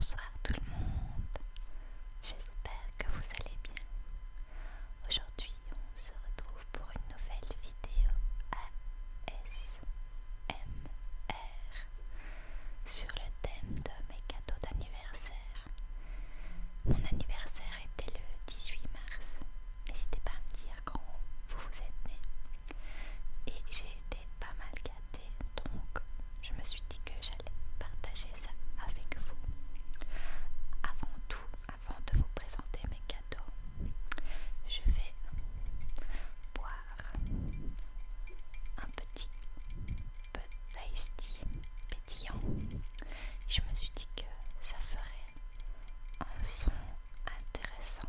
Bonsoir tout le monde, j'espère que vous allez bien. Aujourd'hui on se retrouve pour une nouvelle vidéo ASMR sur le thème de mes cadeaux d'anniversaire. Mon anniversaire était le 18 mars, n'hésitez pas à me dire quand vous vous êtes né. Et j'ai été pas mal donc je me suis dit que j'allais partager ça avec vous. Avant tout, avant de vous présenter mes cadeaux je vais boire un petit petit tasty pétillant. Je me suis dit que ça ferait un son intéressant.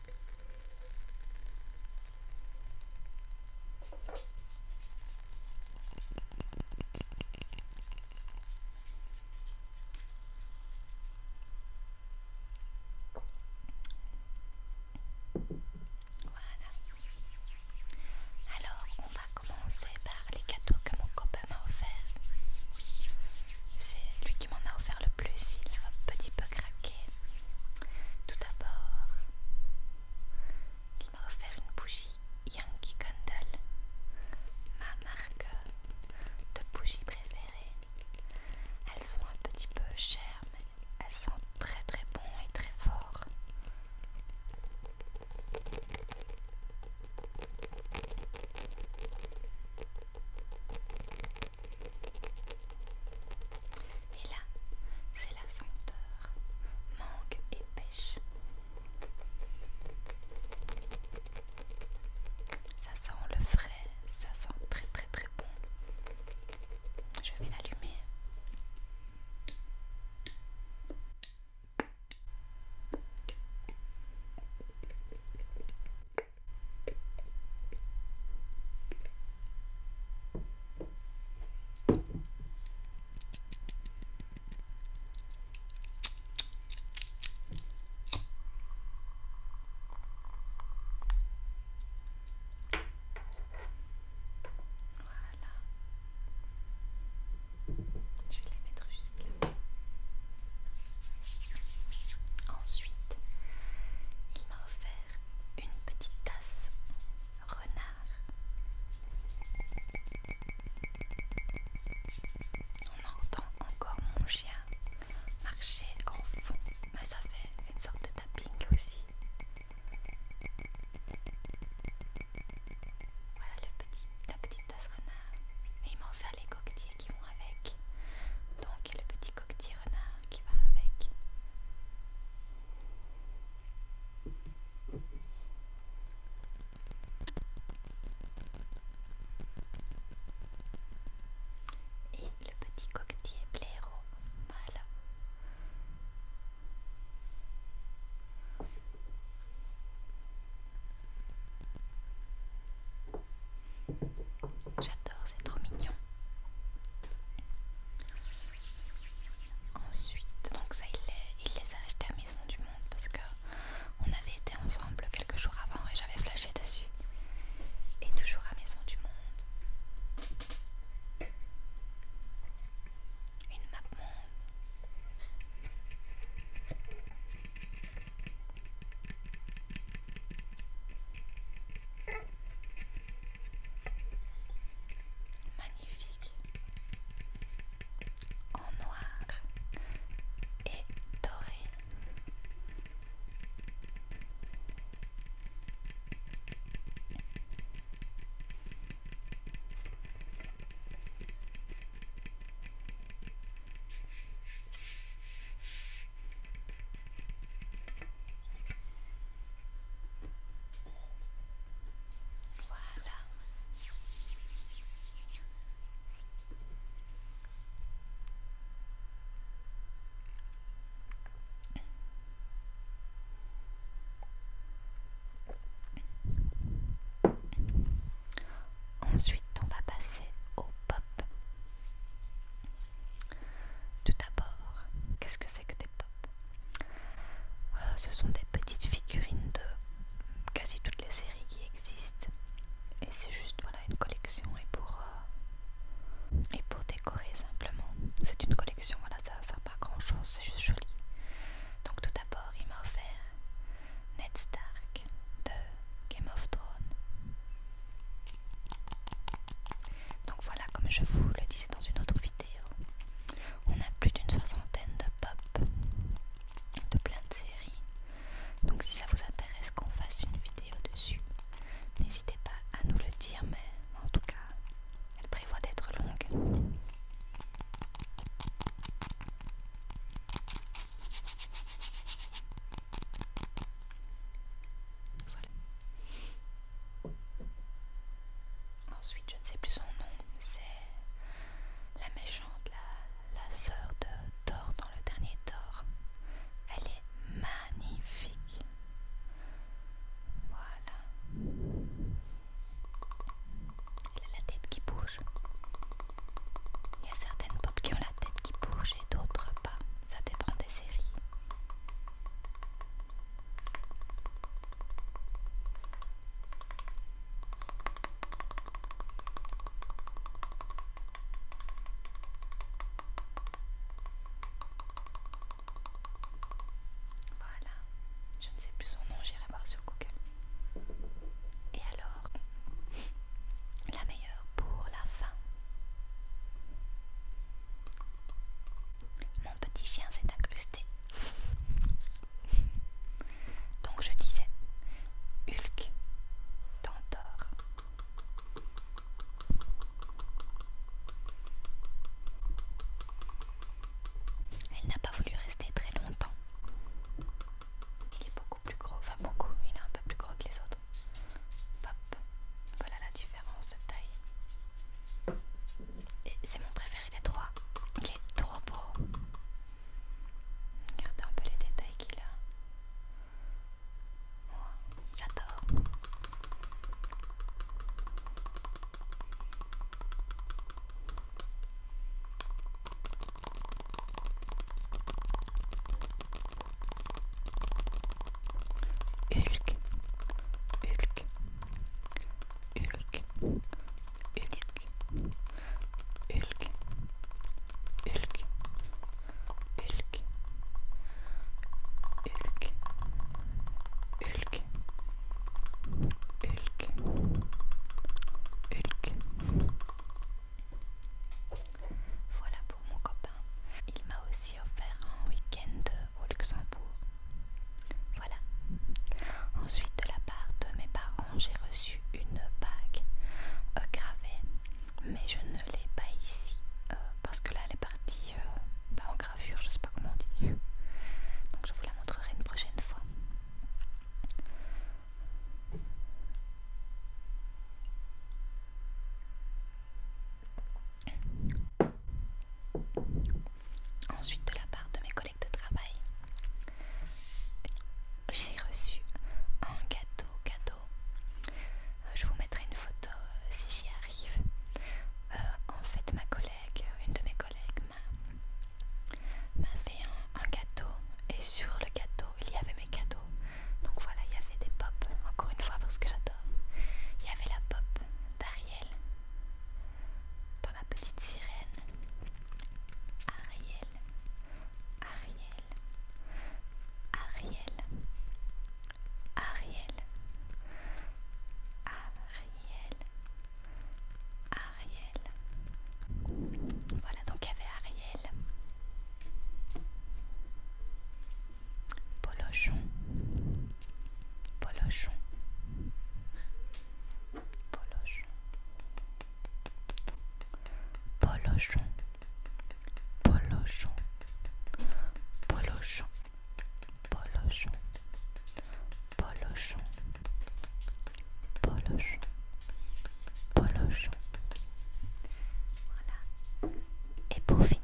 Voilà. Alors, on va commencer par les gâteaux que mon copain m'a offert c'est lui qui m'en a offert le plus, il a un petit peu craqué. Tout d'abord, il m'a offert une bougie Yankee Candle, ma marque de bougies préférée. Elles sont un petit peu chères, mais elles sont très très bon et très fort. Et là, c'est la senteur, mangue et pêche. Ça sent le frais, ça sent très très très bon. Je vais l'allumer. Voilà. Je vais les mettre juste là. Ensuite, il m'a offert une petite tasse renard. On entend encore mon chien marcher en fond, mais ça fait une sorte de tapping aussi. Voilà le petit, la petite tasse renard. Et il m'a offert les coquetiers qui vont avec. Donc le petit coquetier renard qui va avec. Et le petit coquetier blaireau mâle. J'adore, c'est trop mignon. Ensuite, donc ça, il les, a achetés à Maison du Monde parce que on avait été ensemble quelques jours avant et j'avais flashé dessus. Et toujours à Maison du Monde. Une map monde. Magnifique. En noir et doré. Voilà. Ensuite, on va passer au pop. Tout d'abord, qu'est-ce que c'est que des pop euh, Ce sont des petites figurines de quasi toutes les séries qui existent. Et c'est juste voilà, une collection et pour, euh, et pour décorer simplement. C'est une collection, voilà, ça ne pas grand chose, c'est juste joli. Donc tout d'abord, il m'a offert Ned Stark de Game of Thrones. Donc voilà, comme je vous le disais dans une autre vidéo, on a plus d'une soixantaine de pop, de plein de séries. Donc si ça vous intéresse qu'on fasse une vidéo dessus, n'hésitez pas à nous le dire, mais en tout cas, elle prévoit d'être longue. Ensuite, je ne sais plus son nom, c'est la méchante, la, la sœur de Thor dans le dernier Thor. Elle est magnifique. Voilà. Elle a la tête qui bouge. Il y a certaines pop qui ont la tête qui bouge et d'autres pas. Ça dépend des séries. Voilà, je ne sais plus son nom, j'irai voir sur Google. Et alors, la meilleure pour la fin. Mon petit chien s'est incrusté. Donc je disais Hulk, Tantor. Elle n'a pas voulu rester très longtemps. Il est beaucoup plus gros, enfin beaucoup, il est un peu plus gros que les autres voilà la différence de taille. Et c'est mon préféré des trois. Il est trop beau. Regardez un peu les détails qu'il a. j'adore. Elk Elk Elk Elk Elk Elk Elk Elk Elk Voilà pour mon copain. Il m'a aussi offert un week-end euh, au Luxembourg. Voilà. Ensuite, de la part de mes parents, j'ai reçu une bague euh, gravée, mais je ne l'ai pas ici euh, parce que là, elle est partie euh, bah, en gravure, je sais pas comment on dit. Donc, je vous la montrerai une prochaine fois. Ensuite, de la part de mes collègues de travail, j'ai reçu un gâteau cadeau. Euh, je vous mettrai une photo euh, si j'y arrive. Euh, en fait, ma collègue, une de mes collègues, m'a fait un, gâteau et sur le gâteau, il y avait mes cadeaux. Donc voilà, il y avait des pop, encore une fois parce que j'adore. Il y avait la pop, Ariel, dans la petite sirène. Ariel, Ariel, Ariel, Ariel, Ariel, Ariel. Voilà donc il y avait Ariel. Polochon, Polochon, Polochon, Polochon, Polochon, Polochon, Polochon, Polochon, Polochon, Polochon. Voilà. Et pour finir,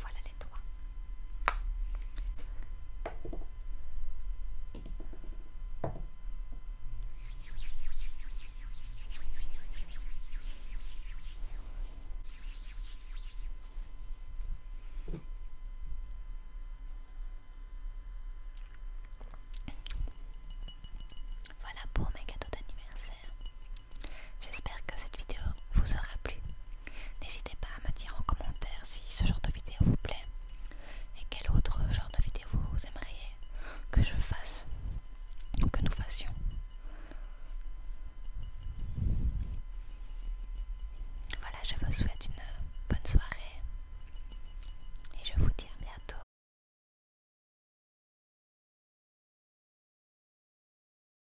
Voilà les trois. Voilà pour mes cadeaux d'anniversaire. J'espère que cette vidéo vous aura plu. N'hésitez pas à me dire en commentaire si ce genre de vidéo vous plaît et quel autre genre de vidéo vous aimeriez que je fasse ou que nous fassions. Voilà, je vous souhaite une bonne soirée et je vous dis à bientôt.